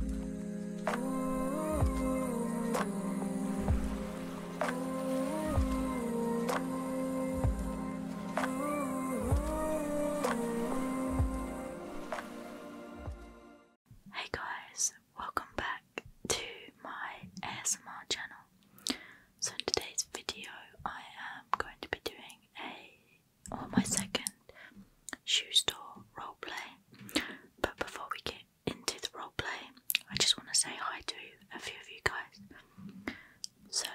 Hey guys, welcome back to my ASMR channel. So, in today's video, I am going to be doing a or oh, my second shoe store roleplay. But before we get into the roleplay, I just want to say hi to a few of you guys. So,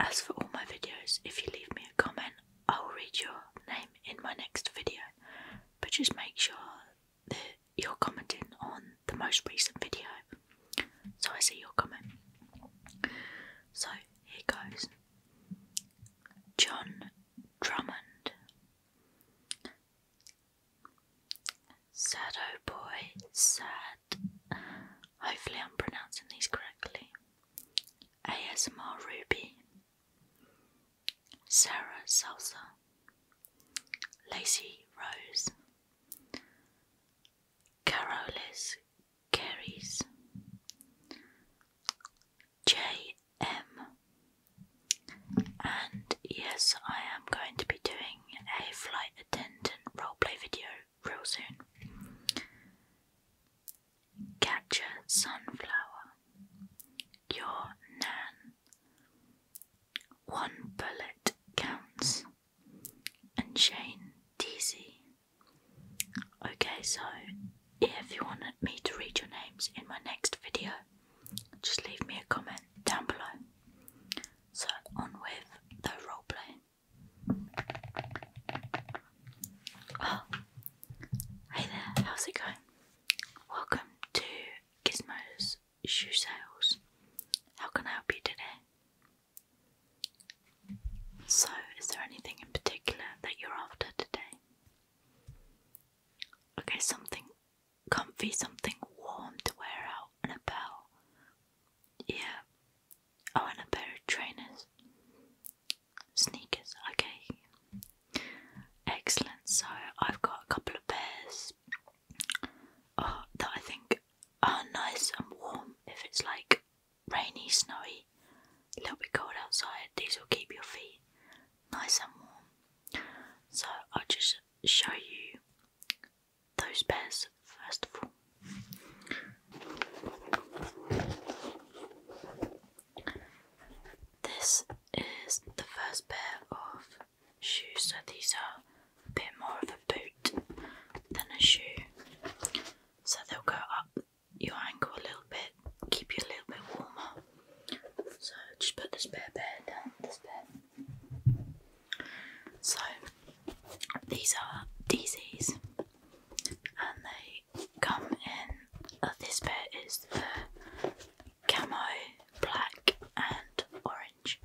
as for all my videos, if you leave me a comment, I will read your name in my next video. But just make sure that you're commenting on the most recent video. So I see your comment. So here goes. John Drummond, Sad Boy, Sad. Hopefully, I'm pronouncing these correctly. ASMR Ruby, Sarah Salsa, Lacy Rose, Carolis carries JM. And yes, I am going to be doing a flight attendant roleplay video real soon. Catch a sunflower. Your nan. One bullet counts. And Shane Deasy. Okay, so if you want me to read your names in my next video, just leave me a comment down below. So, on with the roleplay. Oh, hey there, how's it going? Welcome to Gizmo's Shoe Sales. How can I help you today? So, is there anything in particular that you're after today? Okay, something comfy, something warm to wear out, and a bell. Yeah. I oh, want a pair of trainers. Sneakers, okay. Excellent. So, I've got a couple of pairs uh, that I think are nice and warm if it's like rainy, snowy, a little bit cold outside, these will keep your feet nice and warm. So I'll just show you those pairs first of all. This is the first pair of shoes, so these are a bit more of a boot than a shoe. So they'll go up your ankle a little bit, keep you a little bit warmer. So just put this spare pair down, the spare. So these are DCs and they come in. Uh, this pair is the camo, black, and orange.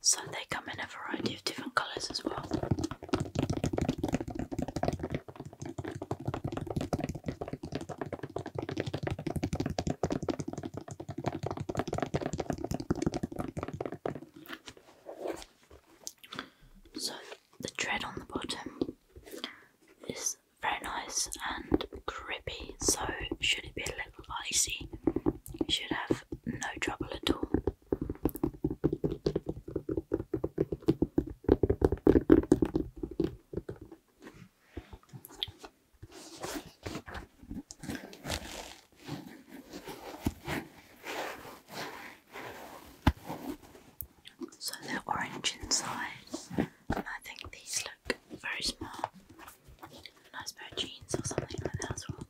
So they come in a variety of different colours as well. So the tread on the bottom is very nice and grippy, so should it be a little icy, should have no trouble at all. So they're orange inside, and I think these look very smart nice pair of jeans or something like that as well.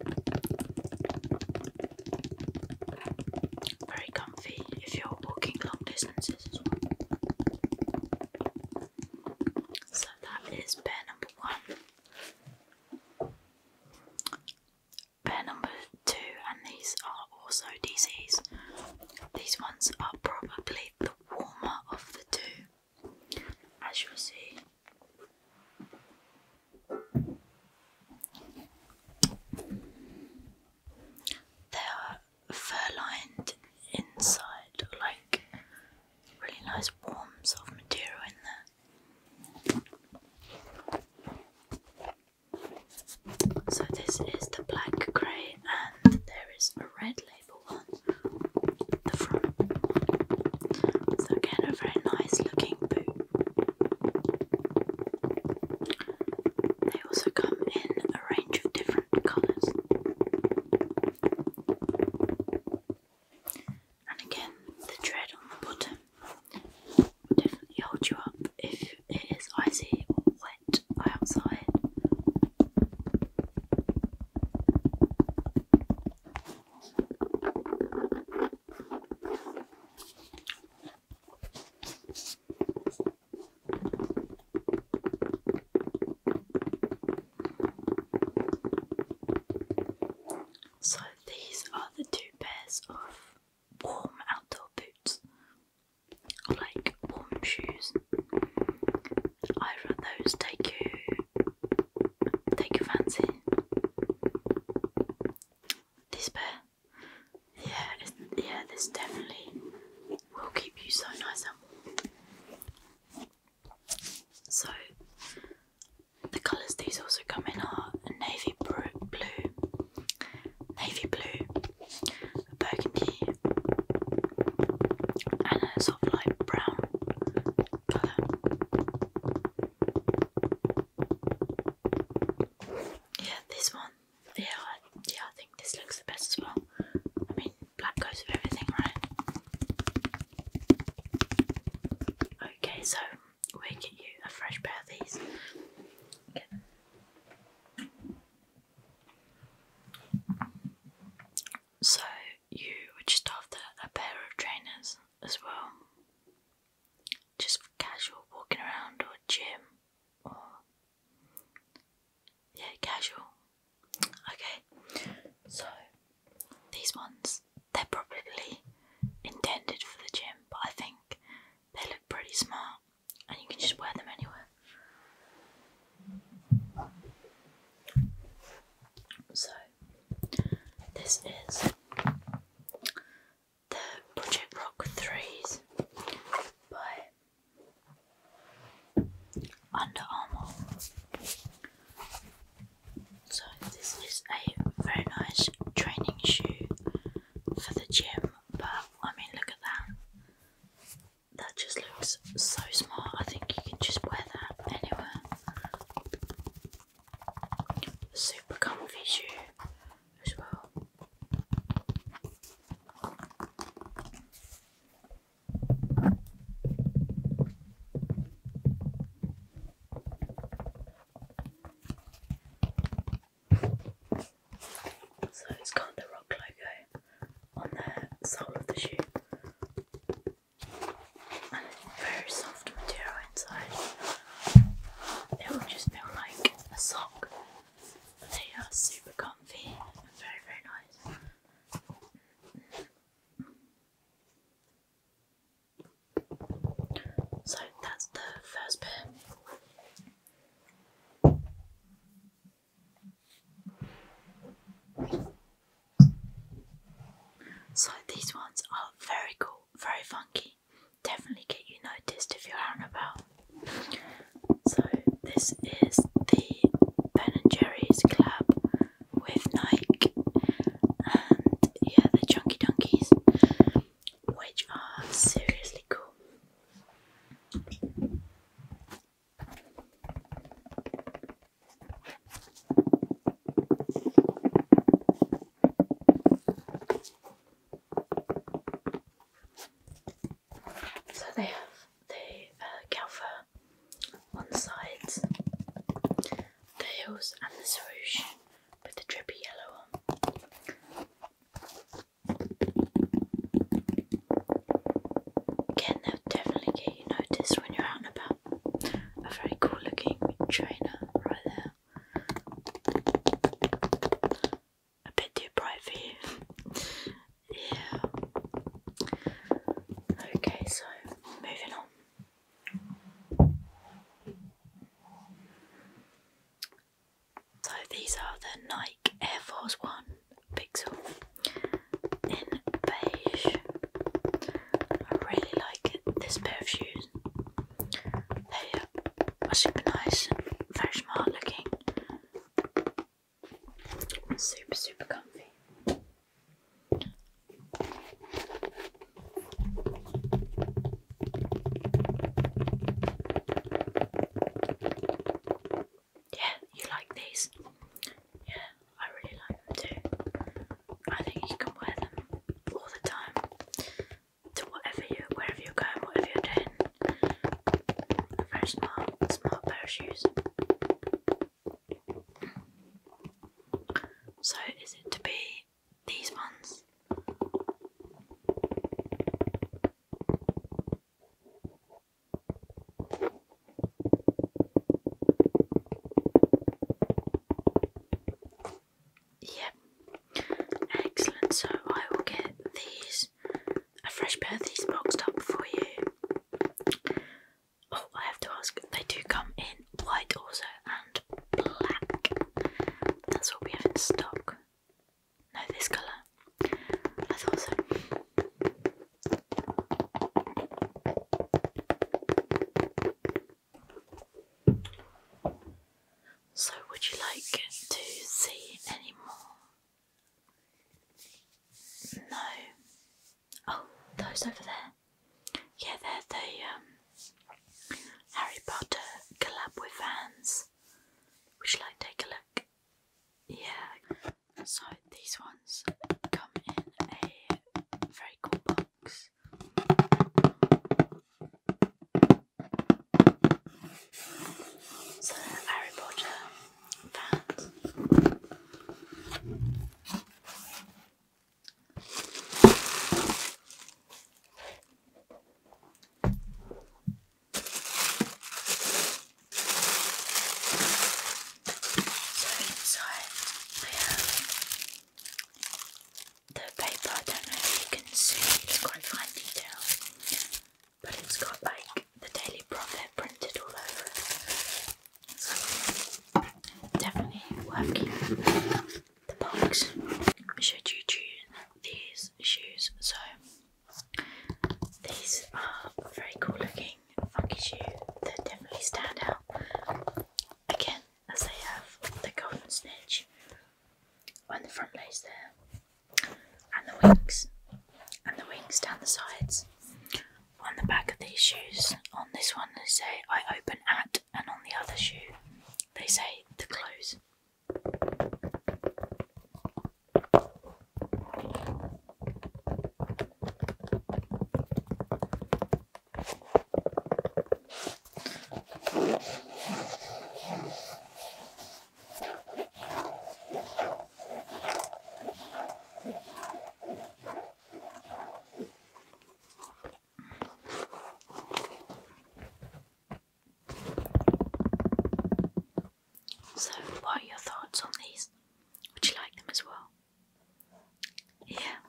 Very comfy if you're walking long distances as well. So that is pair number one. Pair number two, and these are also DCs. These ones are probably the warmer of the two as you see. They are fur lined inside, like really nice warm soft material in there. So this is the black grey and there is a red label one so again, a very nice looking boot. They also come in a range of different colours. And again, the tread on the bottom will definitely hold you up if it is icy or wet outside. So these are the two pairs of warm outdoor boots, like warm shoes. I those take you Take your fancy. This pair, Yeah, it's, yeah, this definitely will keep you so nice and warm. So, the colours these also come in are navy blue, navy blue, a burgundy, and a soft light brown yeah, this one. Yeah, yeah, I think this looks the best as well. I mean, black goes with everything, right? Okay, so we get you a fresh pair of these. So you would just after a pair of trainers as well. Just for casual walking around or gym or yeah, casual. Okay. So these ones they're probably intended for the gym, but I think they look pretty smart and you can just wear them anywhere. So, this is the Project Rock 3s by Under Armour. So, this is a very nice training shoe for the gym, but I mean, look at that that just looks so smart. I think you can just wear that anywhere. Super comfy shoe as well. So it's got the rock logo eh, on the sole of the shoe. And very soft material inside. It will just feel like a sock. They are super comfy and very, very nice. So that's the first pair. So these ones are very cool, very funky. Definitely get you noticed if you're out and about. So this is the Ben and Jerry's collab with Nike and yeah the Chunky Donkeys which are seriously cool. So they have the uh, on the sides, the heels, and the swoosh with the drippy yellow one. Again, they'll definitely get you noticed when you're out and about. A very cool looking trainer right there. A bit too bright for you. yeah. Okay, so moving on. So these are the Nike Air Force One Pixel in beige. I really like this pair of shoes. They are super nice, very smart looking, super super comfy. Yeah, you like these? Yeah, I really like them too. I think you can wear them all the time to whatever you, wherever you're going, whatever you're doing. Very smart, smart pair of shoes. So, is it to be these ones? Yep, excellent. So I will get these, a fresh pair of these boxed up for you. Oh, I have to ask, they do come in white also and black. That's what we have in stock. No, this colour. I thought so. So, would you like to see any more? No. Oh, those over there. Yeah, they're the um, Harry Potter collab with Vans. We should like to take a look? Yeah. So these ones come in a very cool box. So Harry Potter so inside we have the paper, I don't know if you can see, it's quite fine detail, but it's got like the Daily Prophet printed all over So definitely worth keeping the box I should you choose these shoes. So these are very cool looking funky shoes that definitely stand out. Again, as they have the golden snitch on the front laces there, and the wings, and the wings down the sides. On the back of these shoes, on this one, they say I open at and on the other shoe they say the close. So, what are your thoughts on these? Would you like them as well? Yeah,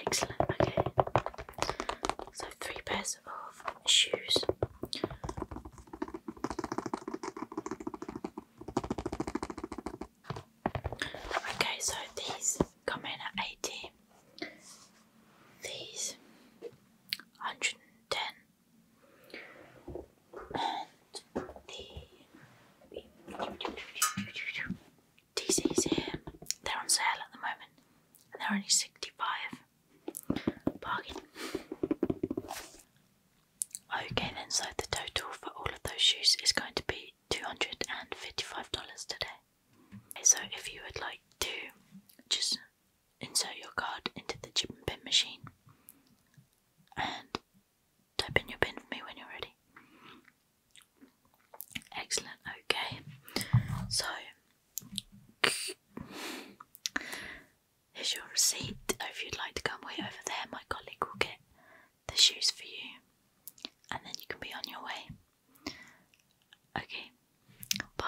excellent. Okay, so three pairs of shoes. Okay, so these come in at 80. These 110. And the DC's here. They're on sale at the moment. they're only 65. Bargain. Okay then, so the total for all of those shoes is going to be $255 today. So if you would like to just insert your card into the chip and pin machine and type in your pin for me when you're ready. Excellent, okay. So here's your receipt. if you'd like to come wait over there, my colleague will get the shoes for you, and then you can be on your way. Okay, bye.